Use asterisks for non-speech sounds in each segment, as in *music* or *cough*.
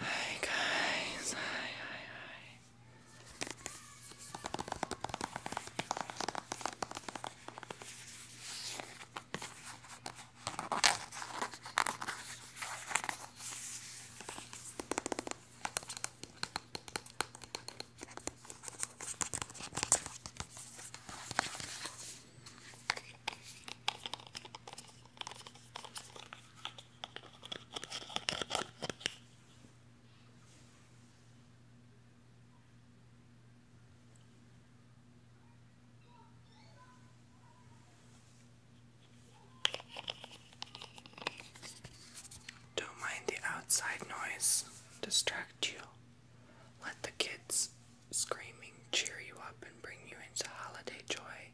Hi guys, hi, hi, hi. Don't mind the outside noise distract you. Let the kids screaming cheer you up and bring you into holiday joy.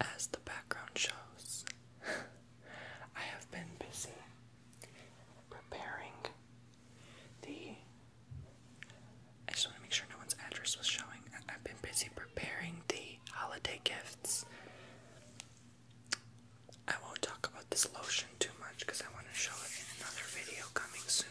As the background shows, *laughs* I have been busy preparing the. I just want to make sure no one's address was showing. I've been busy preparing the holiday gifts. I won't talk about this lotion too much because I want to show it in another video coming soon.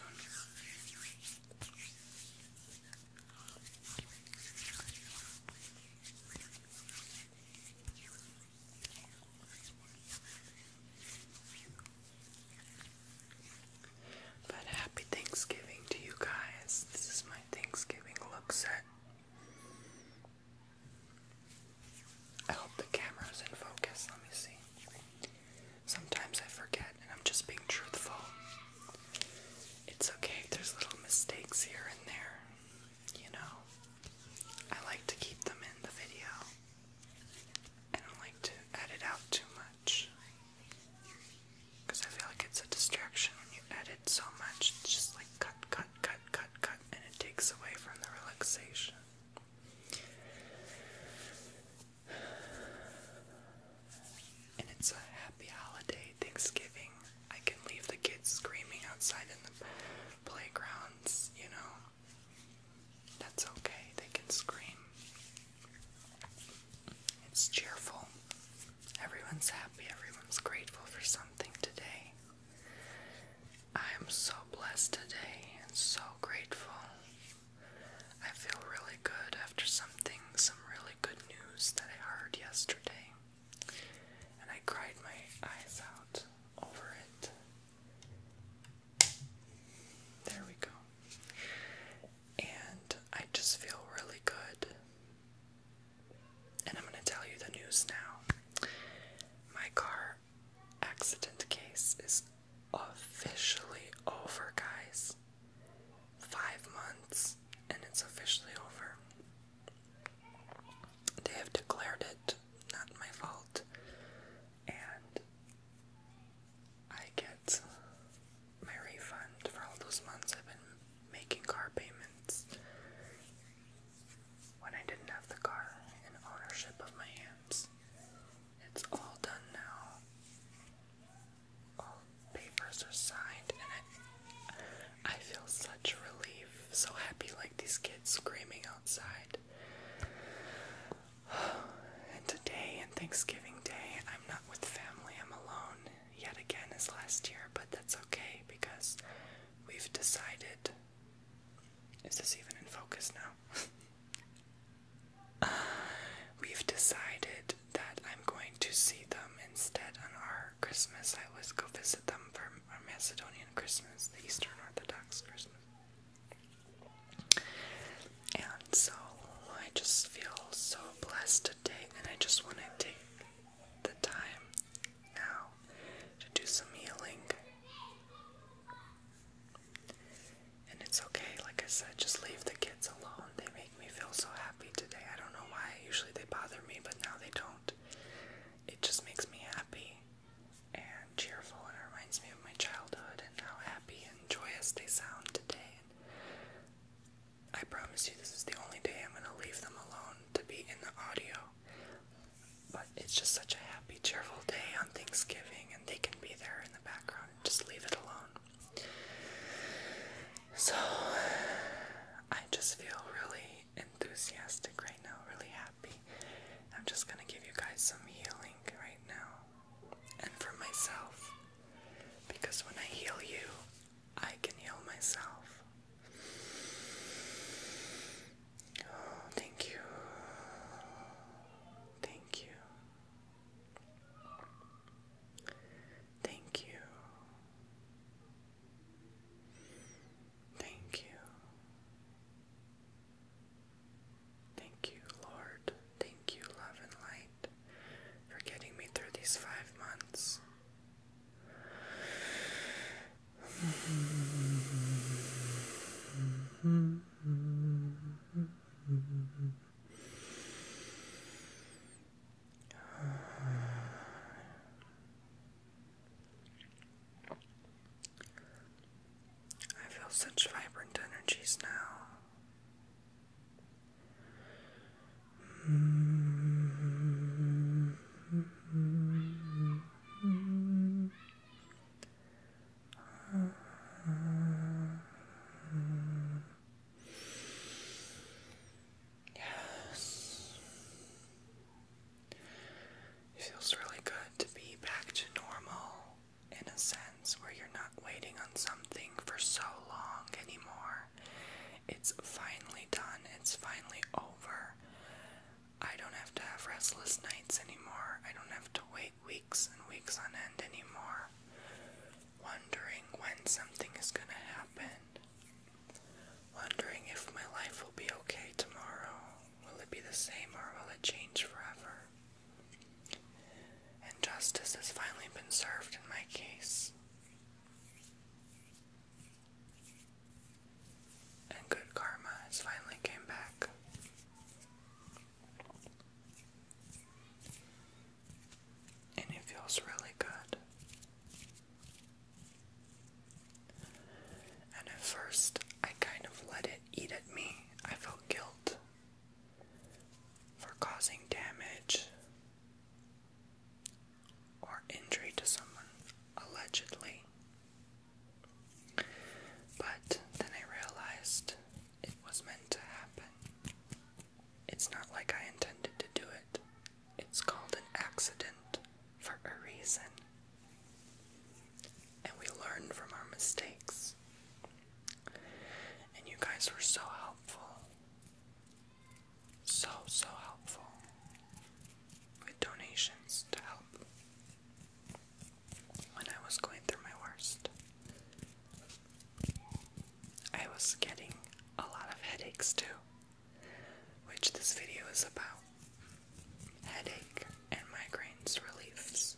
But happy Thanksgiving to you guys. This is my Thanksgiving look set. I hope the camera's in focus. Let me see. Sometimes I forget and I'm just being truthful. It's okay if there's little mistakes here and there. You know, I like to keep them in the video. I don't like to edit out too much. Because I feel like it's a distraction when you edit so much. It's just like cut, cut, cut, cut, cut, and it takes away from the relaxation. And it's a happy holiday, Thanksgiving. I can leave the kids screaming outside in the playgrounds, you know. That's okay, they can scream. It's cheerful. Everyone's happy, everyone's grateful for something today. I am so blessed today and so grateful. I feel really good after something, some really good news that I heard yesterday. And I cried my eyes out over it. There we go. And I just feel really good. And I'm going to tell you the news now. My car accident case is officially over, guys. Five months, and it's officially over. They have declared it, not my fault. And I get my refund for all those months I've been making car payments when I didn't have the car in ownership of my hands. It's all done now all papers are signed, and I, I feel such relief, so happy, like these kids screaming outside. *sighs* And today, and Thanksgiving Day, I'm not with family, I'm alone yet again as last year, but that's okay because we've decided. Is this even in focus now? *laughs* Uh, *sighs* we've decided that I'm going to see them instead on our Christmas. I always go visit them for our Macedonian Christmas, the Eastern Orthodox Christmas. And so I just feel so blessed today, and I just want to take the time now to do some healing. And it's okay, like I said, just leave the kids alone. They make me feel so happy today. I don't know why. Usually they bother me, but now they don't. It just makes me happy and cheerful, and it reminds me of my childhood and how happy and joyous they sound today. I promise you, this is the only day I'm going to leave them alone to be in the audio. But it's just such a happy, cheerful day on Thanksgiving, and they can be there in the background. Just leave it alone. So I just feel really enthusiastic right now, really happy. I'm just gonna give you guys some healing right now and for myself because when I heal you, I can heal myself. Oh, thank you. Thank you. Thank you. Thank you. Thank you, Lord. Thank you, love and light, for getting me through these five months. *laughs* I feel such vibrant energies now. Yes. It feels really good to be back to normal in a sense where you're not waiting on something for so long anymore. It's finally done, it's finally over. I don't have to have restless nights anymore. I don't have to wait weeks and weeks on end anymore, wondering when something is going to happen, wondering if my life will be okay tomorrow. Will it be the same or will it change forever? And justice has finally been served in my case. And good karma has finally came back. And it feels really good. And at first, I kind of let it eat at me. I felt guilt for causing damage or injury to someone, allegedly. But then I realized it was meant to happen. It's not like I intended to do it. It's called an accident for a reason. And we learn from our mistakes. And you guys were so helpful. So, so helpful. With donations to help when I was going through my worst. I was getting a lot of headaches too, which this video is about headache and migraines reliefs.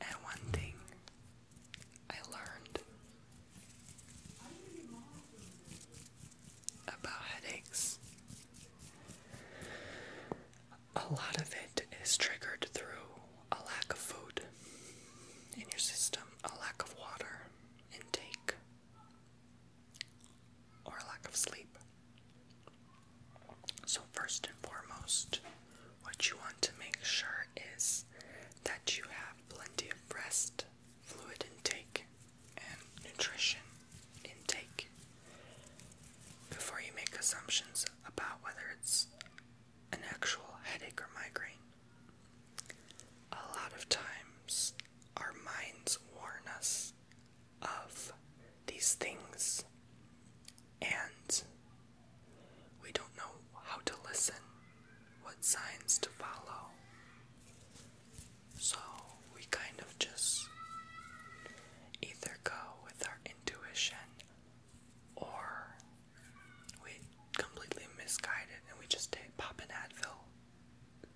And one thing I learned about headaches a lot of it is triggered through a lack of food in your system, a lack of water intake, or lack of sleep. So, first and foremost, what you want to make sure is that you have plenty of rest, fluid intake, and nutrition intake before you make assumptions about whether it's an actual headache or migraine. A lot of times, our minds warn us of these things, and we don't know how to listen, what signs to follow. So we kind of just either go with our intuition or we completely misguide it and we just take, pop an Advil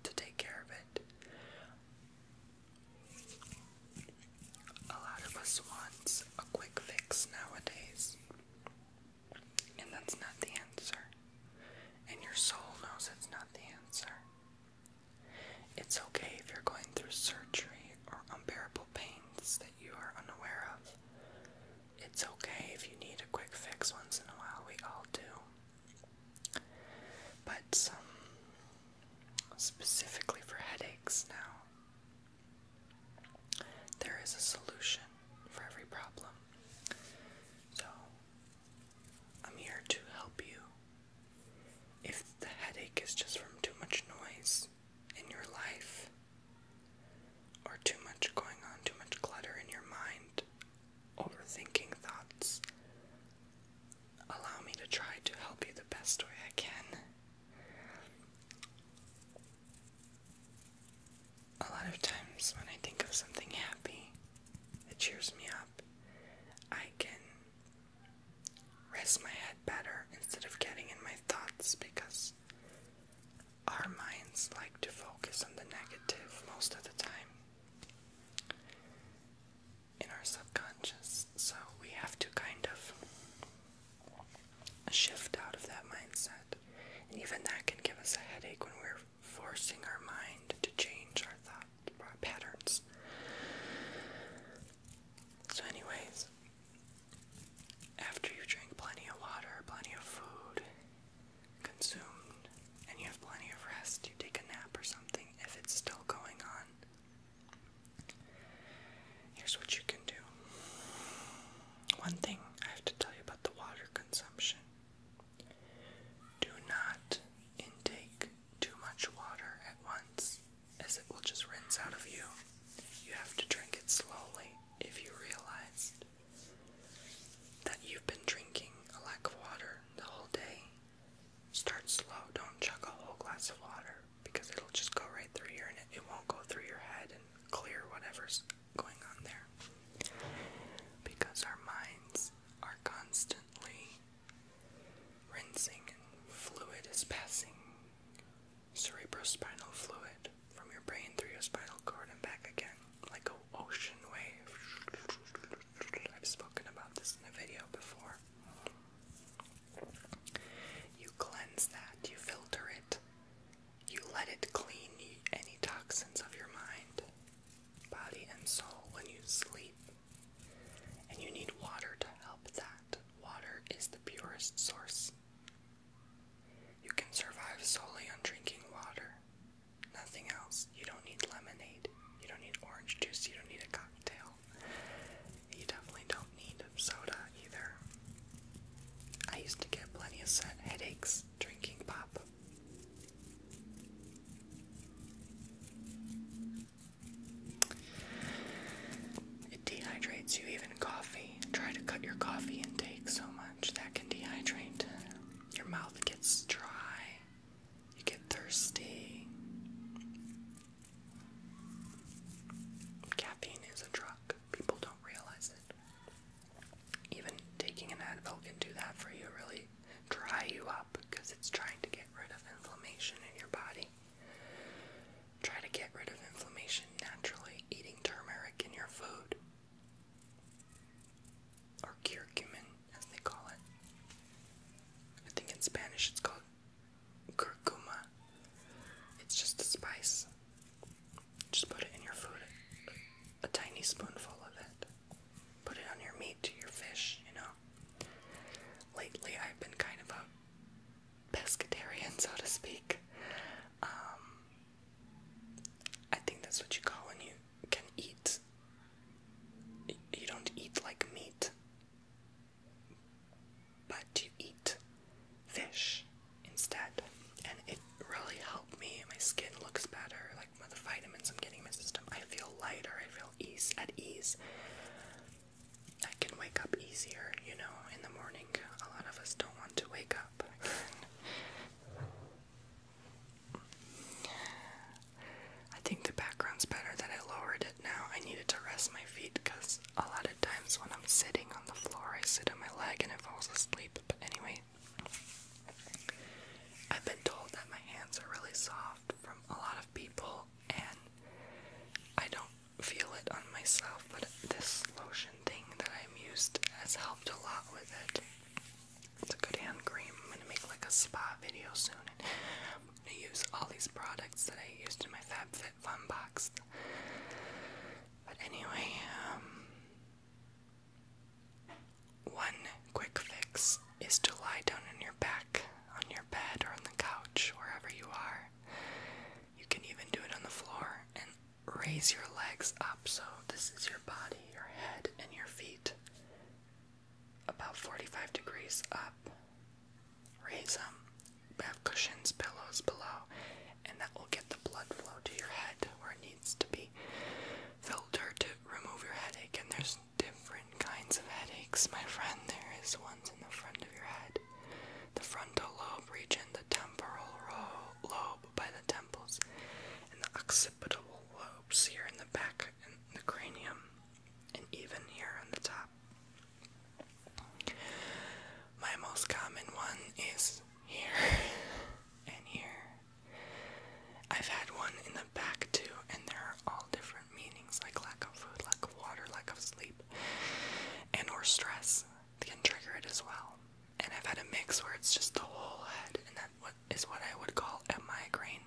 to take care of it. A lot of us wants a quick fix nowadays, and that's not the answer. And your soul knows it's not the answer. It's okay if you're going through surgery or unbearable pains that you are unaware of. It's okay if you need a quick fix once in a while, we all do. But specifically for headaches now. There is a solution for every problem. So I'm here to help you. If the headache is just from too much noise in your life, or too much going on, too much clutter in your mind, overthinking thoughts, allow me to try to help you the best way I can. A lot of times when I think of something happy, it cheers me up. I can rest my head better instead of getting in my thoughts because our minds like to focus on the negative most of the time in our subconscious. So we have to kind of shift out of that mindset. And even that can give us a headache when we're forcing our mind to change our thoughts patterns. So, anyways, after you drink plenty of water, plenty of food, consumed, and you have plenty of rest, you take a nap or something if it's still going on. Here's what you can do. One thing I have to tell you about the water consumption do not intake too much water at once, as it will just rinse out of you. You have to drink it slowly if you realize that you've been drinking a lack of water the whole day. Start slow, don't chuck a whole glass of water because it'll just go right through your and it won't go through your head and clear whatever's going on there. Because our minds are constantly Rinsing fluid is passing cerebrospinal fluid from your brain through your spinal cord and back again, like an ocean wave. I've spoken about this in a video before. You cleanse that, you filter it, you let it clean any toxins of your mind, body, and soul when you sleep. And you need water to help that. Water is the purest source. You can survive solely on drinking water. Nothing else. You don't need lemonade. You don't need orange juice. You don't need a cocktail. You definitely don't need soda either. I used to get plenty of headaches drinking pop. It dehydrates you, even coffee. Try to cut your coffee intake so much that can dehydrate. Your mouth gets dry, you get thirsty. Caffeine is a drug, people don't realize it. Even taking an Advil can do that for you, really dry you up because it's trying to get rid of inflammation in your body. Try to get rid of inflammation naturally eating turmeric in your food. Or curcumin, as they call it. I think in Spanish it's called curcuma. It's just a spice. Just put it in your food, a tiny spoonful of it put it on your meat, to your fish, you know. Lately, I've been kind of a pescatarian, *laughs* so to speak. Um, I think that's what you call when you can eat. You don't eat like meat, but you eat fish instead, and it really helped me. My skin looks better. Like with the vitamins I'm getting my system, I feel lighter, I feel ease at ease. I can wake up easier, you know, in the morning. A lot of us don't want to wake up. I think the background's better that I lowered it now. I needed to rest my feet because a lot of times when I'm sitting on the floor, I sit on my leg and it falls asleep. But anyway, I've been told that my hands are really soft from a lot of people, and I don't feel it on myself, but this lotion thing that I'm used has helped a lot with it. It's a good hand cream. I'm gonna make like a spa video soon. And use all these products that I used in my FabFitFun box. But anyway, um, one quick fix is to lie down on your back, on your bed, or on the couch, wherever you are. You can even do it on the floor and raise your legs up so this is your body, your head, and your feet about 45 degrees up. Raise them. Have cushions, pillows below, and that will get the blood flow to your head where it needs to be. filtered to remove your headache, and there's different kinds of headaches, my friend. There is ones in the front of your head, the frontal lobe region, the temporal lobe by the temples, and the occipital lobes here in the back and the cranium, and even here on the top. My most common one is here *laughs* and here I've had one in the back too, and there are all different meanings like lack of food, lack of water, lack of sleep, and or stress can trigger it as well. And I've had a mix where it's just the whole head, and that is what I would call a migraine.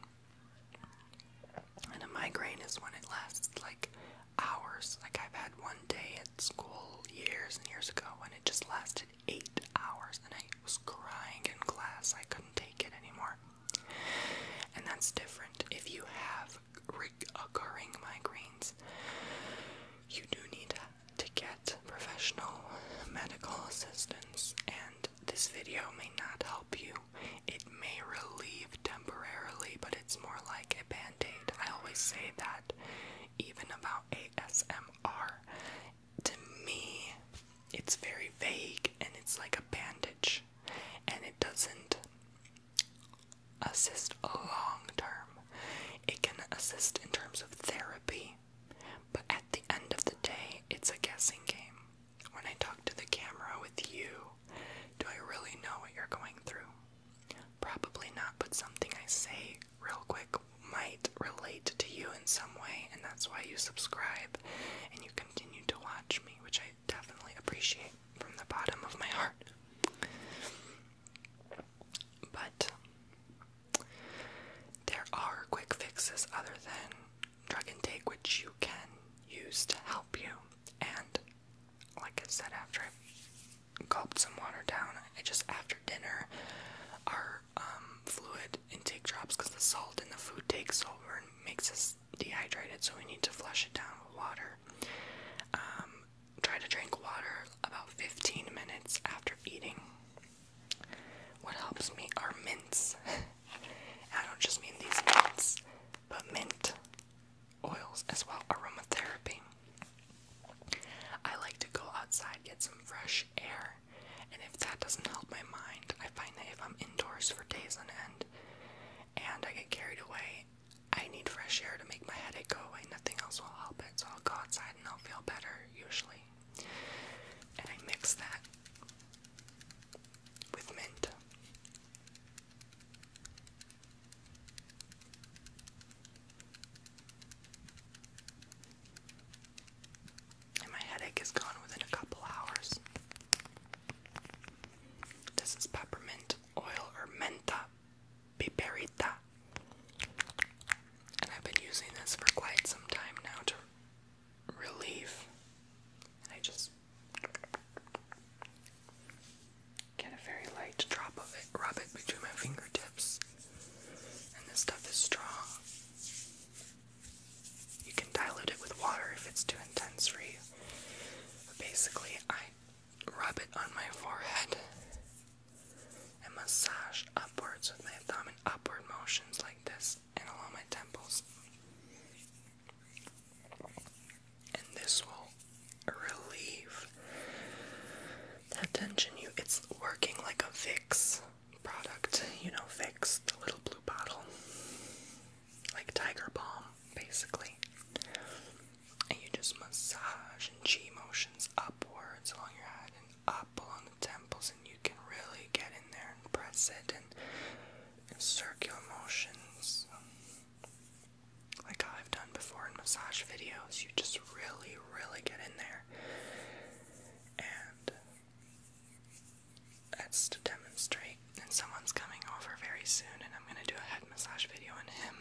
And a migraine is when it lasts like hours. Like I've had one day at school years and years ago and it just lasted eight hours, and I was crying in class. I couldn't take it anymore. And that's different. If you have recurring migraines, you do need to get professional medical assistance, and this video may not help you. It may relieve temporarily, but it's more like a band aid. I always say that, even about ASMR to me, it's very vague and it's like a bandage and it doesn't assist long term. It can assist in terms of therapy, but at the end of the day, it's a guessing game. When I talk to the camera with you, do I really know what you're going through? Probably not, but something I say real quick might relate to you in some way, and that's why you subscribe and you continue to watch me, which I definitely appreciate from the bottom of my heart. But there are quick fixes other than drug and take, which you can use to help you. And like I said, after I gulped some water down, I just after dinner, our um, fluid intake drops because the salt in the food takes over and makes us dehydrated, so we need to flush it down with water. Um, try to drink water about 15 minutes after eating. What helps me are mints. *laughs* I don't just mean these mints, but mint oils as well, aromatherapy. I like to go outside, get some fresh air, and if that doesn't help my mind, I find that if I'm indoors for days on end and I get carried away, I need fresh air to make my headache go away. Nothing else will help it, so I'll go outside and I'll feel better usually. And I mix that with mint. And my headache is gone within a couple hours. This is peppermint oil or menta piperita. And I've been using this for quite some time now to relieve. I just get a very light drop of it, rub it between my fingertips. And this stuff is strong. You can dilute it with water if it's too intense for you. But basically, I rub it on my forehead and massage upwards with my thumb in upward motions like this and along my temples. And this will relieve that tension. You it's working like a Vicks product, you know, fix the little blue bottle, like Tiger Balm, basically. And you just massage and G motions upwards along your head and up along the temples, and you can really get in there and press it and, and circular motions, like I've done before in massage videos. You just really, really get in there and that's to demonstrate. And someone's coming over very soon, and I'm gonna do a head massage video on him.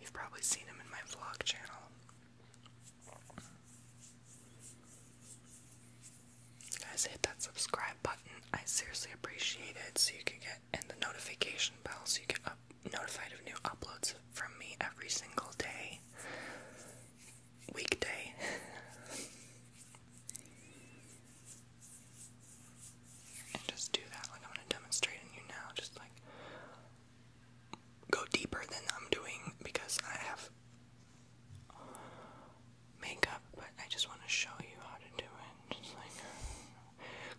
You've probably seen him in my vlog channel. Guys, hit that subscribe button. I seriously appreciate it. So you can get and the notification bell, so you get up, notified of new uploads from me every single day weekday. and just do that. Like, I'm gonna demonstrate in you now. Just like go deeper than I'm doing because I have makeup, but I just want to show you how to do it. Just like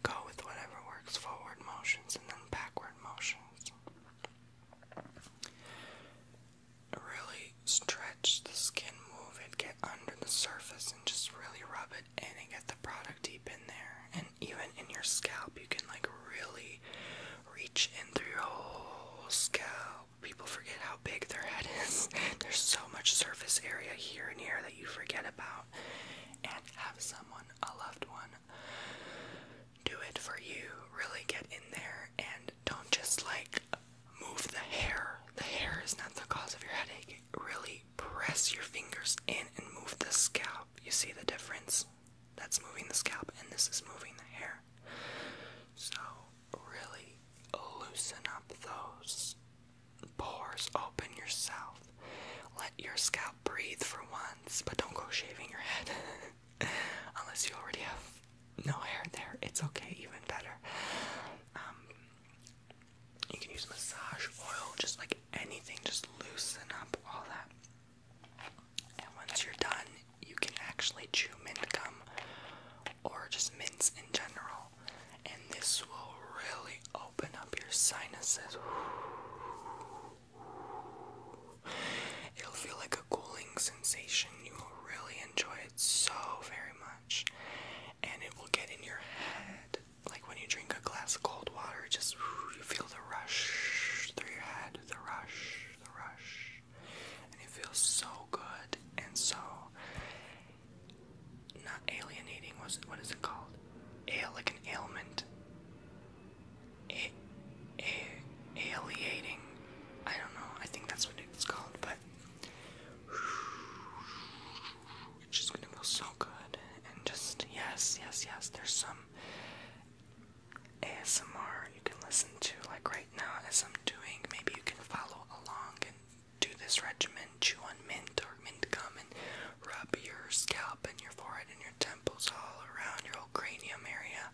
go with whatever works forward motions and then backward motions really stretch the skin, move it, get under the surface, and just really rub it in and get the product deep in there. And even in your scalp, you can like really reach in through your whole scalp. People forget how big their head *laughs* is. There's so much surface area here and here that you forget about. And have someone, a loved one, do it for you. Really get in there and don't just like move the hair. The hair is not the cause of your headache. Really press your fingers in and move the scalp. You see the difference? That's moving the scalp, and this is moving the hair. So, really loosen up those pores, open yourself, let your scalp breathe for once, but don't go shaving your head. *laughs* *laughs* Unless you already have no hair there, it's okay, even better. Um, you can use massage oil, just like anything, just loosen up all that. And once you're done, you can actually chew mint gum or just mints in general, and this will really open up your sinuses. It'll feel like a cooling sensation. You will really enjoy it so very much. And it will get in your head. Like when you drink a glass of cold water, just you feel the rush through your head, the rush, the rush. And it feels so good and so not alienating. Was what is it called? Ale, like an ailment a a alienating. I don't know. I think that's what it's called, but it's just gonna feel so good. And just yes, yes, yes. There's some ASMR you can listen to, like right now as I'm doing. Maybe you can follow along and do this regimen. Chew on mint or mint gum and rub your scalp and your forehead and your temples all around your whole cranium area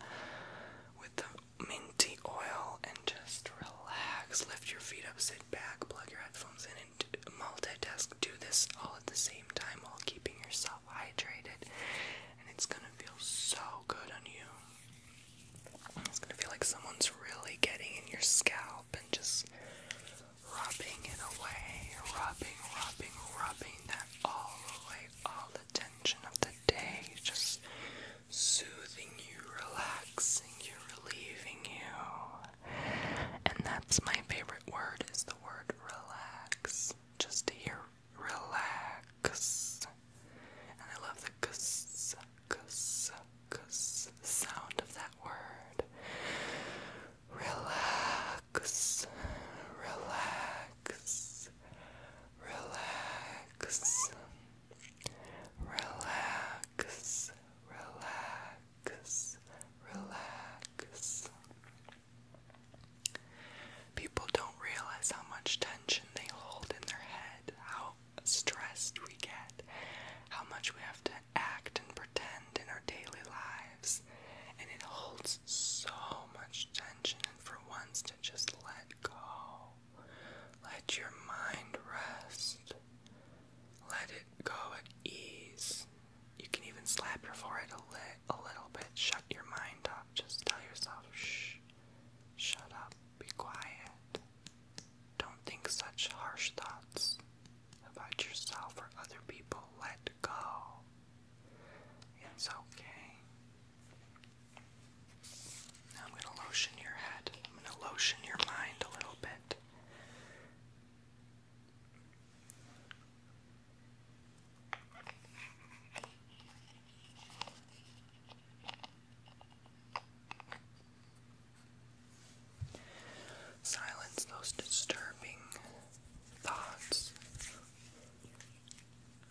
with the minty oil and just relax. Lift your feet up, sit back, plug your headphones in, and multitask. Do this all at the same time while keeping yourself hydrated, and it's gonna feel so good on you. It's gonna feel like someone's really getting in your scalp and just rubbing it away, rubbing, rubbing, rubbing that all the way, all the time of the day, just soothing you, relaxing you, relieving you. And that's my favorite word is the word relax. Just to hear relax. And I love the kus, kus, kus sound of that word. Relax, relax relax, relax, relax, relax, relax. People don't realize how much tension they hold in their head, how stressed we get, how much we have to act and pretend in our daily lives, and it holds so much tension, and for once to just let go. Let your mind rest. Let it go at ease. You can even slap your forehead a, a little bit. Shut your mind up. Just tell yourself, shh, shut up, be quiet. Don't think such harsh thoughts about yourself or other people. Let go. It's okay. I'm going to lotion your head. I'm going to lotion your mind a little bit. Silence those disturbing thoughts.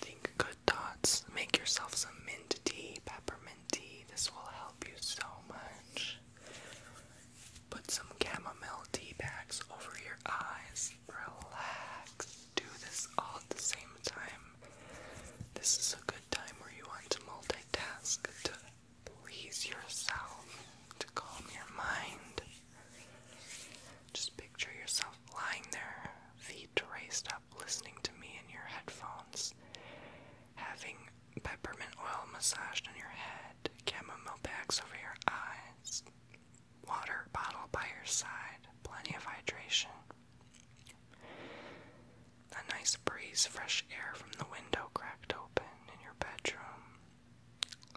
Think good thoughts. Make yourself some mint tea, peppermint tea. This will help you so much. Put some chamomile tea bags over your eyes. Relax do this all at the same time. This is a good time where you want to multitask to please yourself, to calm your mind. Just picture yourself lying there, feet raised up, listening to me in your headphones, having peppermint oil massaged on your head, chamomile bags over your eyes, water bottle by your side, plenty of hydration. A nice breeze, fresh air from the window cracked open in your bedroom.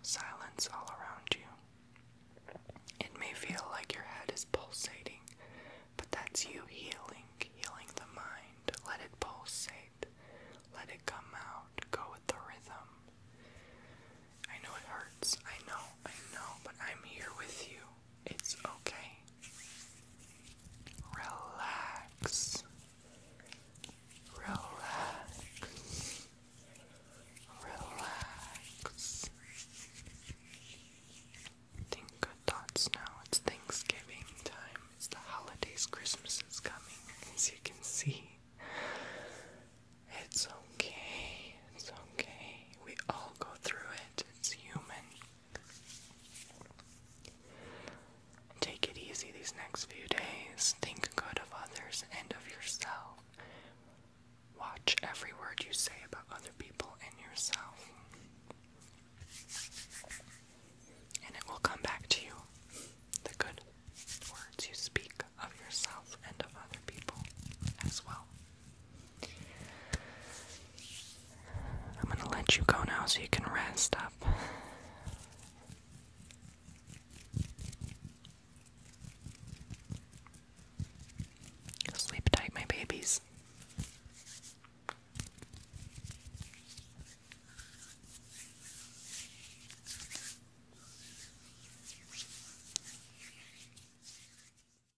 Silence all around you. It may feel like your head is pulsating, but that's you healing, healing the mind. Let it pulsate, let it come out, go with the rhythm. I know it hurts, I know, I know, but I'm here with you. It's okay. Relax. Relax. Relax. Think good thoughts now. It's Thanksgiving time. It's the holidays. Christmas is coming, as you can see. It's okay. It's okay. We all go through it. It's human. Take it easy these next few days. Think good of others and of yourself. Watch every word you say about other people and yourself. And it will come back to you. The good words you speak of yourself and of other people as well. I'm gonna let you go now so you can rest up. Sleep tight, my babies.